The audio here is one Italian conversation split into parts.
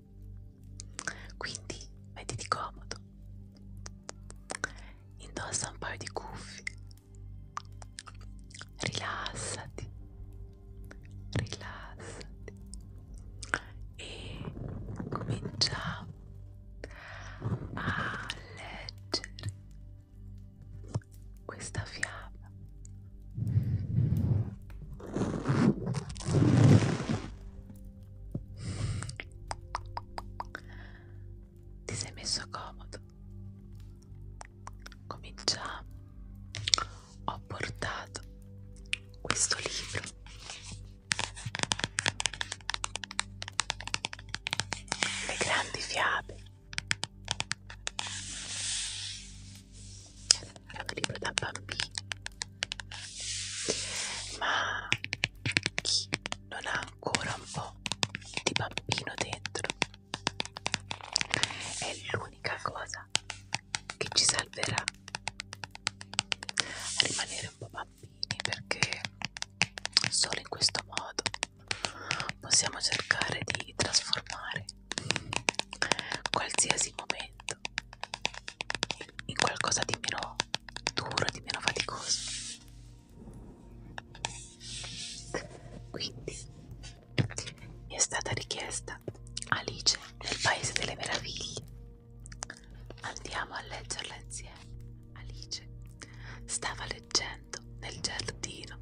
così. Quindi mettiti comodo, indossa un paio di cuffie, rilassati, rilassati e cominciamo a leggere questa fiaba ti sei messo comodo? Cominciamo. Ho portato questo libro Le grandi fiabe era un libro da bambini ma chi non ha ancora un po' di bambino dentro è l'unica cosa che ci salverà rimanere un po' bambini perché solo in questo modo possiamo cercare di trasformare qualsiasi momento in qualcosa di meno duro, di meno faticoso. Quindi mi è stata richiesta Alice nel Paese delle Meraviglie. Andiamo a leggerla insieme. Alice stava leggendo nel giardino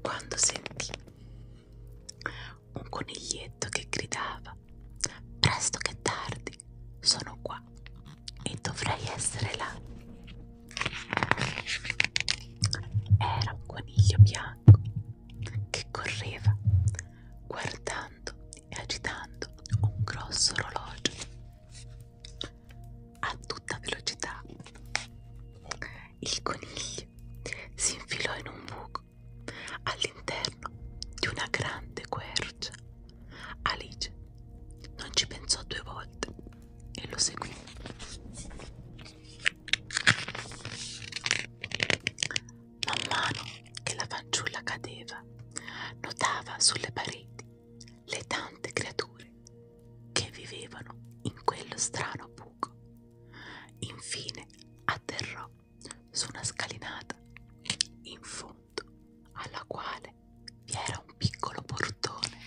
quando sentì un coniglietto che gridava presto che tardi sono qua e dovrei essere là era un coniglio bianco che correva guardando e agitando un grosso orologio a tutta velocità il coniglio occhi, si infilò in un buco all'interno di una grande quercia. Alice non ci pensò due volte e lo seguì. Man mano che la fanciulla cadeva, notava sulle pareti le tante creature che vivevano in quello strano buco Infine atterrò su una scalinata in fondo alla quale vi era un piccolo portone.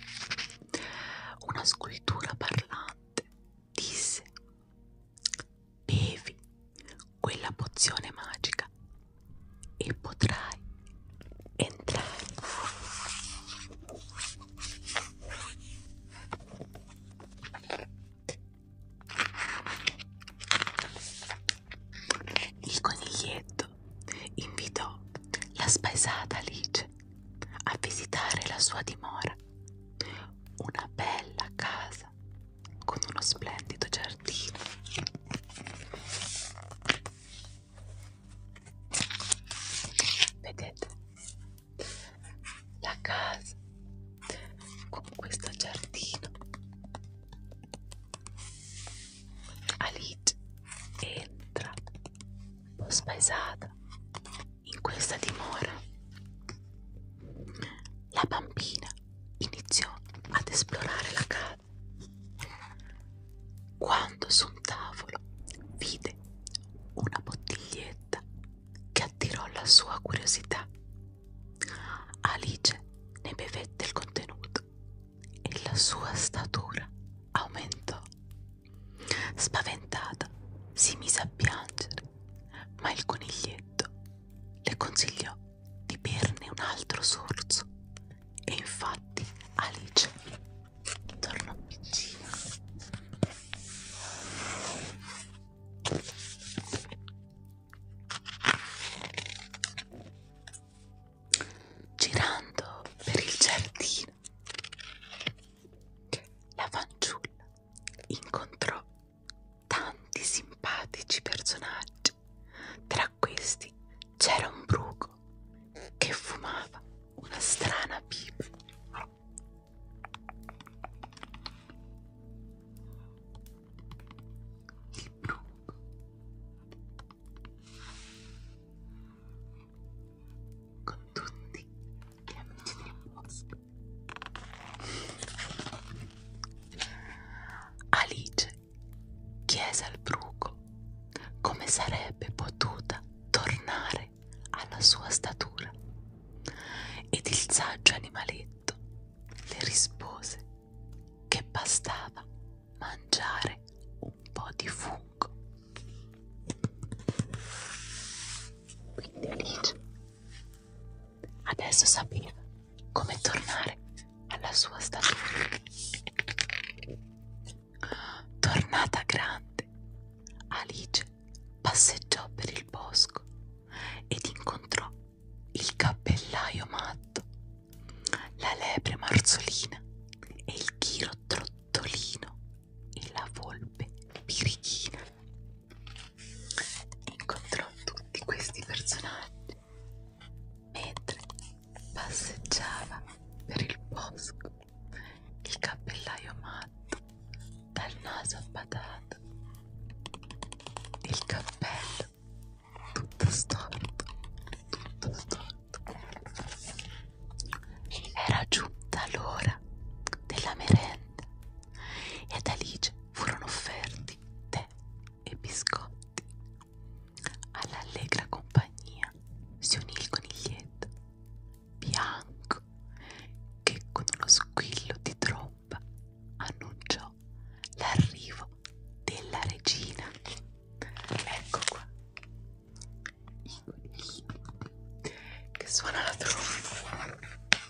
Una scultura parlante disse Bevi quella pozione magica e potrai entrare. Il coniglietto invitò la spaesata Alice a visitare la sua dimora, una bella casa con uno splendido giardino. Vedete, la casa con questo giardino Alice entra un po' spaesata in questa dimora la bambina iniziò ad esplorare la casa quando su un tavolo vide una bottiglietta che attirò la sua curiosità. Alice ne bevette il contenuto e la sua statura aumentò. Spaventata si mise a piangere, ma il coniglietto le consigliò di berne un altro sorso e infatti Alice torno a piccina girando per il giardino la fanciulla incontrò tanti simpatici personaggi tra questi c'era un bruco che fumava una strana pipa. Il bruco. Con tutti gli amici del bosco. Alice chiese al bruco tempo, come sarebbe potuta tornare alla sua statura. Ed il saggio animaletto le rispose che bastava mangiare un po' di fungo. Quindi Alice adesso sapeva come tornare alla sua statura. Tornata grande, Alice passeggiò per il bosco ed incontrò il cappellaio matto, la lepre marzolina e il chiro trottolino e la volpe pirichina. Incontrò tutti questi personaggi Mentre passeggiava per il bosco, il cappellaio matto dal naso abbadato, il cappello tutto storto, tutto storto. Era giunta l'ora della merenda ed Alice furono offerti tè e biscotti All'allegra compagnia si unì il coniglietto bianco che con uno squillo di tromba annunciò l'arrivo della regina. Ecco qua i coniglietti che suona la tromba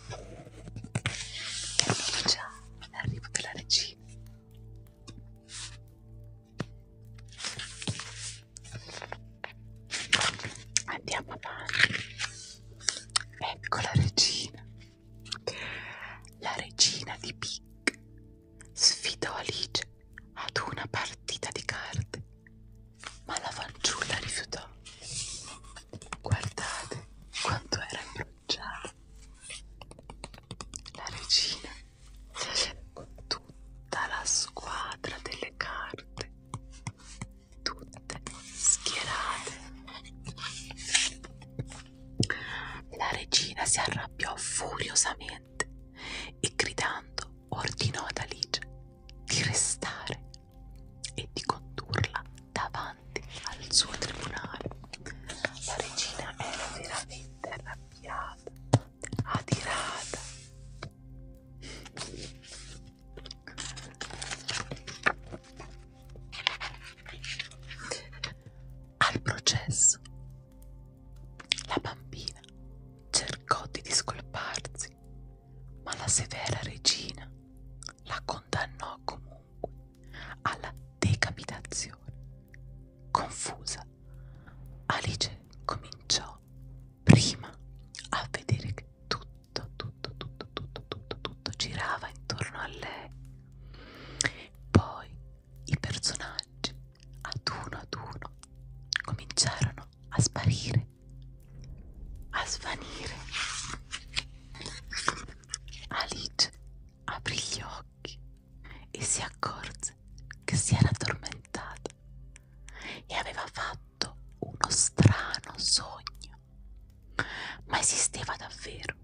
e annuncia l'arrivo della regina. Andiamo avanti. Ecco la regina. La regina di Pic sfidò Alice ad una partita di carte, ma la fanciulla rifiutò. Guardate quanto era imbronciata la regina con tutta la squadra delle carte tutte schierate la regina si arrabbiò furiosamente e gridando ordinò ad Alice di restare e di condurla davanti davanti al suo tribunale. La regina era veramente arrabbiata, adirata. Al processo, la bambina cercò di discolparsi, ma la severa regina la condannò comunque comunque alla decapitazione. Confusa, Alice cominciò prima a vedere che tutto, tutto, tutto, tutto, tutto, tutto girava intorno a lei. Poi i personaggi, ad uno ad uno, cominciarono a sparire, a svanire. Alice aprì gli occhi e si accorse che si era addormentata e aveva fatto uno strano sogno. Ma esisteva davvero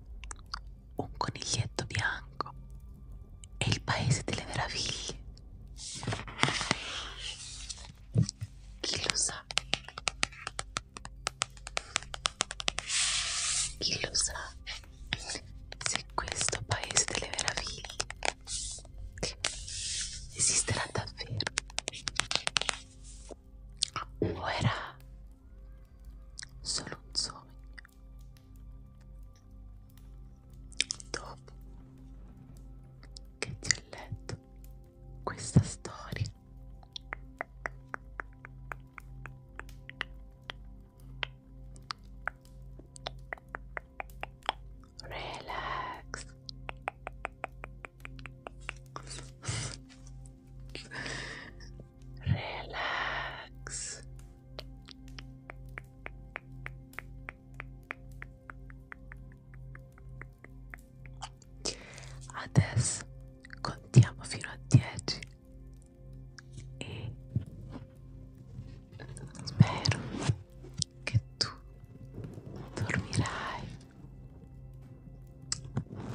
un coniglietto bianco e il paese delle meraviglie. Chi lo sa? Chi lo sa se questo paese delle meraviglie esisterà davvero o era solo un sogno? Dopo che ti ho letto questa storia relax relax Adesso contiamo fino a 10 e spero che tu dormirai.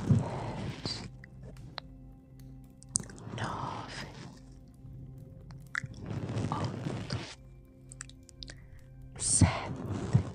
10 9 8 7 6 5 4 3 2 1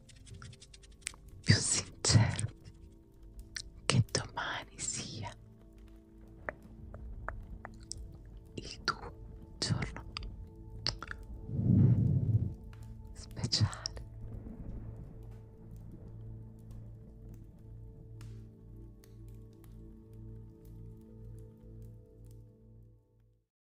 più sincero che domani sia il tuo giorno speciale